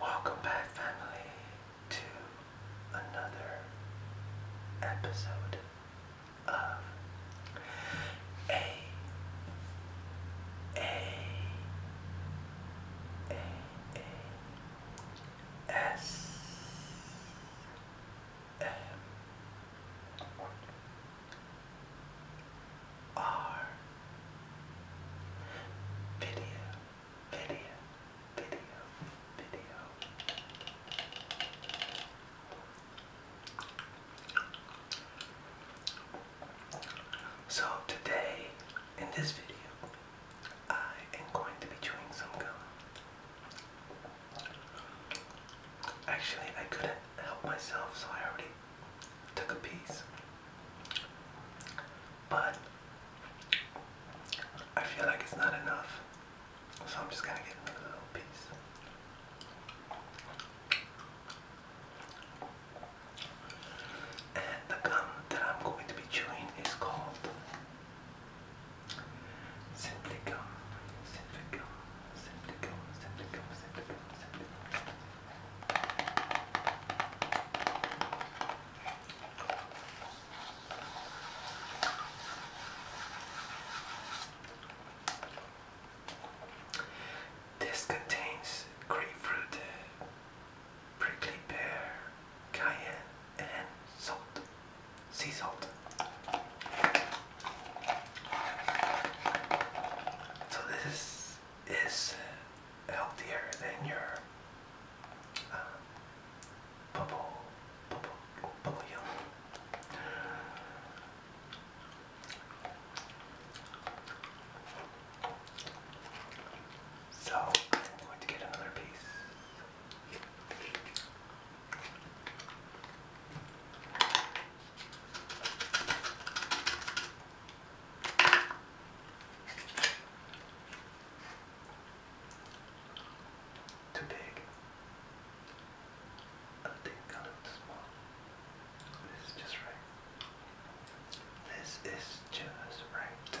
Welcome back, family to another episode of A A A A S M R video video, video, video. So today, in this video, I am going to be doing some gum. Actually, I couldn't help myself, so I already took a piece but I feel like it's not enough. So I'm just gonna get another little piece. And the gum that I'm going to be chewing is called Simply Gum. Simply Gum. Simply Gum. Simply Gum. Simply Gum. Simply Gum. This contains grapefruit, prickly pear, cayenne, and salt, sea salt. So this is healthier than your um, bubble, bubble, bubble So I'm going to get another piece. Too big. I think a little small. This is just right. This is just right.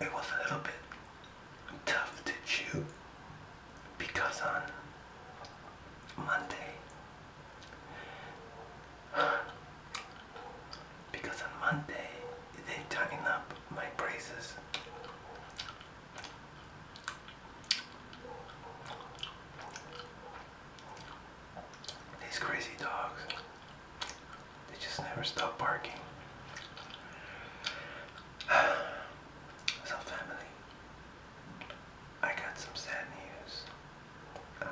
It was a little bit tough to chew because on Monday, because on Monday they tighten up my braces these crazy dogs, they just never stop barking. So family, I got some sad news. Um,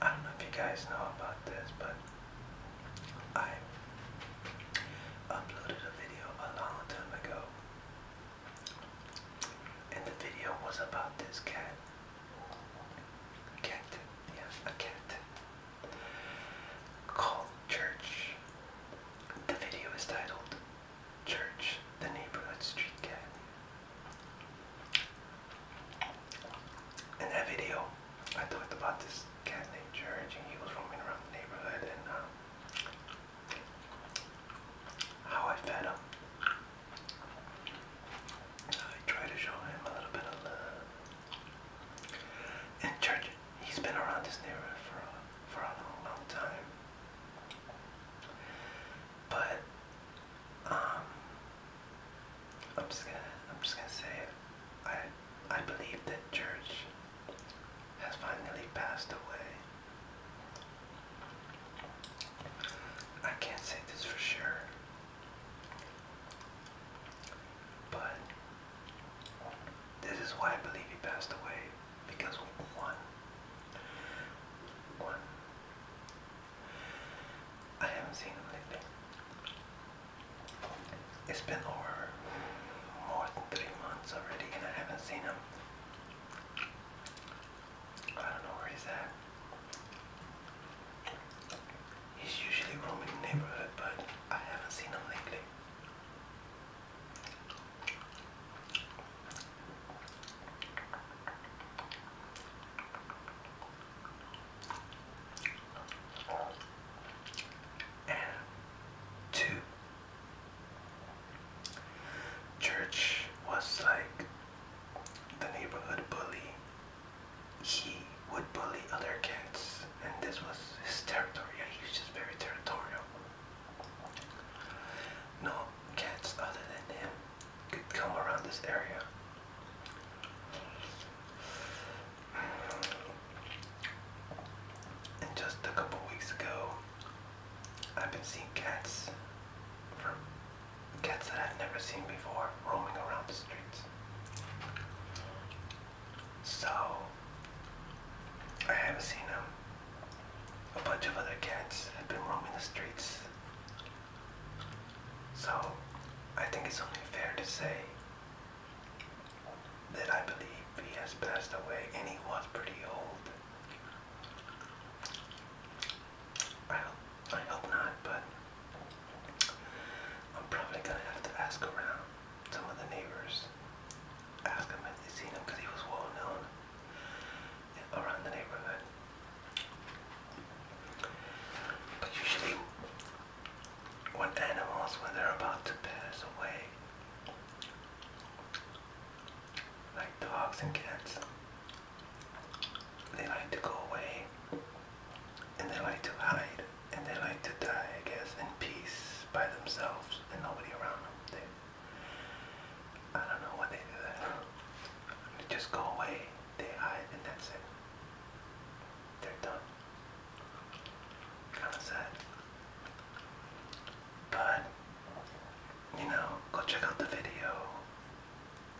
I don't know if you guys know about this, but I uploaded a video a long time ago. And the video was about this cat. Cat, yeah, a cat. Called Church. The video is titled Church, the Neighborhood Street Cat. In that video, I talked about this cat named George, and he was roaming around the neighborhood, and um, how I fed him. I tried to show him a little bit of love. And George, he's been around this neighborhood for a, for a long, long time. But um, I'm just gonna I'm just gonna say it. I I believe that church has finally passed away. I can't say this for sure. But this is why I believe he passed away because one, one, I haven't seen him lately. It's been over more than three months already and I haven't seen him. I don't know where he's at. He's usually roaming the neighborhood, but I haven't seen him lately two. Church was like the neighborhood bully. He would bully other cats, and this was his territory. He was just very territorial. No cats other than him could come around this area. And just a couple weeks ago, I've been seeing cats from cats that I've never seen before roaming around the streets. So I haven't seen them a bunch of other cats have been roaming the streets. So, I think it's only fair to say that I believe he has passed away and he was pretty old. I I hope not, but I'm probably gonna have to ask around some of the neighbors. Ask them if they've seen him because he was well known around the neighborhood. But usually, when animals, when they're about to pass away, like dogs and cats, they like to go away and they like to hide and they like to die, I guess, in peace by themselves and nobody around them. They I don't know what they do that. They just go away. They hide and that's it. They're done. Kinda sad. But you know, go check out the video.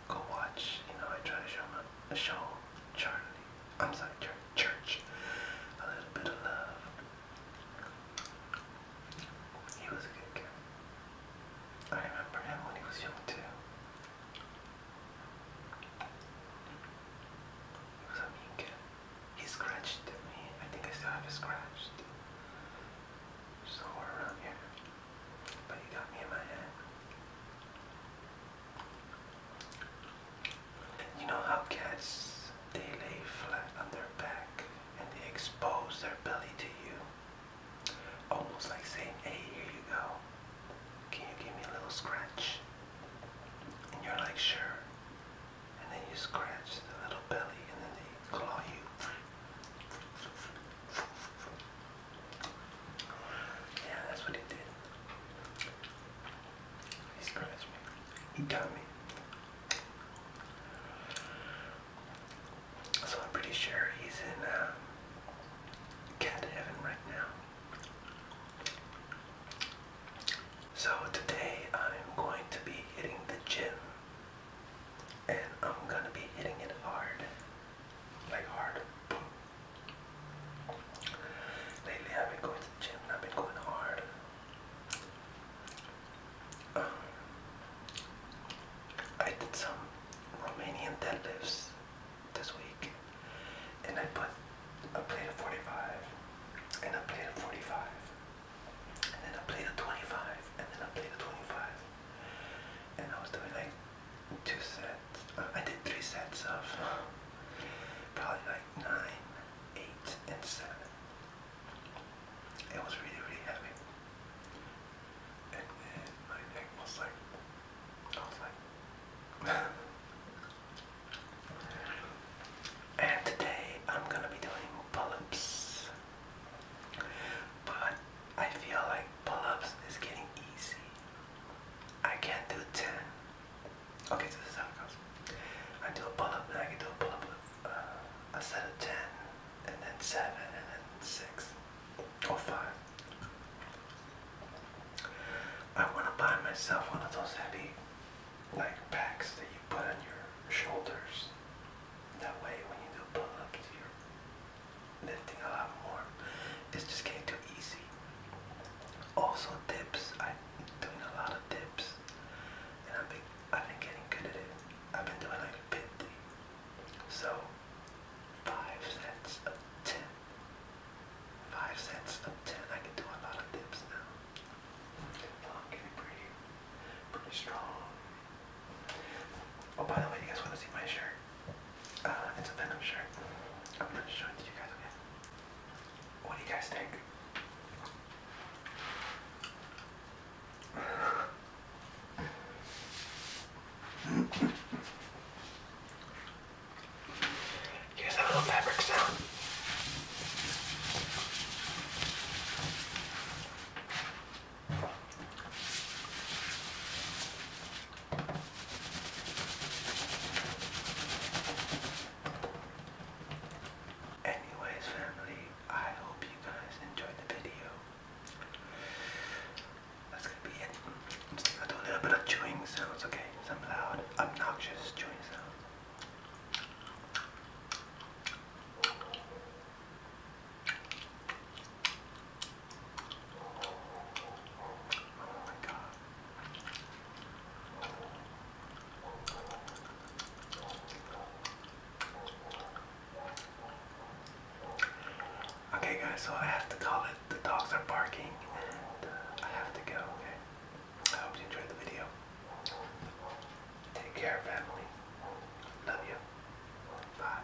Go watch. You know, I try to show my, show Charlie. I'm sorry, Church. Church. A little bit of love. He was a good kid. I remember him when he was young too. He was a mean kid. He scratched at me. I think I still have it scratched. Somewhere around here. But he got me in my head. You know how cats, they lay flat on their back and they expose their belly to you. Almost like saying, hey, here you go. Can you give me a little scratch? And you're like, sure. And then you scratch the little belly and then they claw you. Yeah, that's what he did. He scratched me. He got me. So I'm pretty sure he's in uh, heaven right now. So today I'm going to be hitting the gym. And I'm gonna be hitting it hard. Like hard. Lately I've been going to the gym and I've been going hard. I did some Romanian deadlifts this week and I put a plate of 45 and a plate of 45 and then a plate of 25 and then a plate of 25 and I was doing like two sets, uh, I did three sets of probably like nine eight, and seven. It was really, really heavy. And then my neck was like, I was like, and today I'm gonna be doing pull-ups. But I feel like pull-ups is getting easy. I can't do 10. Okay, so this is how it goes. I do a pull up, and I can do a pull up with uh, a set of 10, and then 7, and then 6, or 5. I want to buy myself one of those heavy like packs that you put on your shoulders. That way, when you do pull ups, you're lifting a lot more. It's just getting too easy. Also, dips. I doing a lot of dips, and I've been I've been getting good at it. I've been doing like 50, so five sets of 10. sets of 10. I can do a lot of dips now. So oh, I'm pretty, strong. Oh, by the way, you guys want to see my shirt? Uh, it's a Venom shirt. I'm going to it to you guys, okay? What do you guys think? Here's that little fabric sound. Anyways, family, I hope you guys enjoyed the video. That's gonna be it. i do a little bit of chewing sounds, okay? Some loud, obnoxious chewing sounds. Oh okay guys, so I have to call it. The dogs are barking and uh, I have to go, okay? I hope you enjoyed the video. Take care, family. Love you. Bye.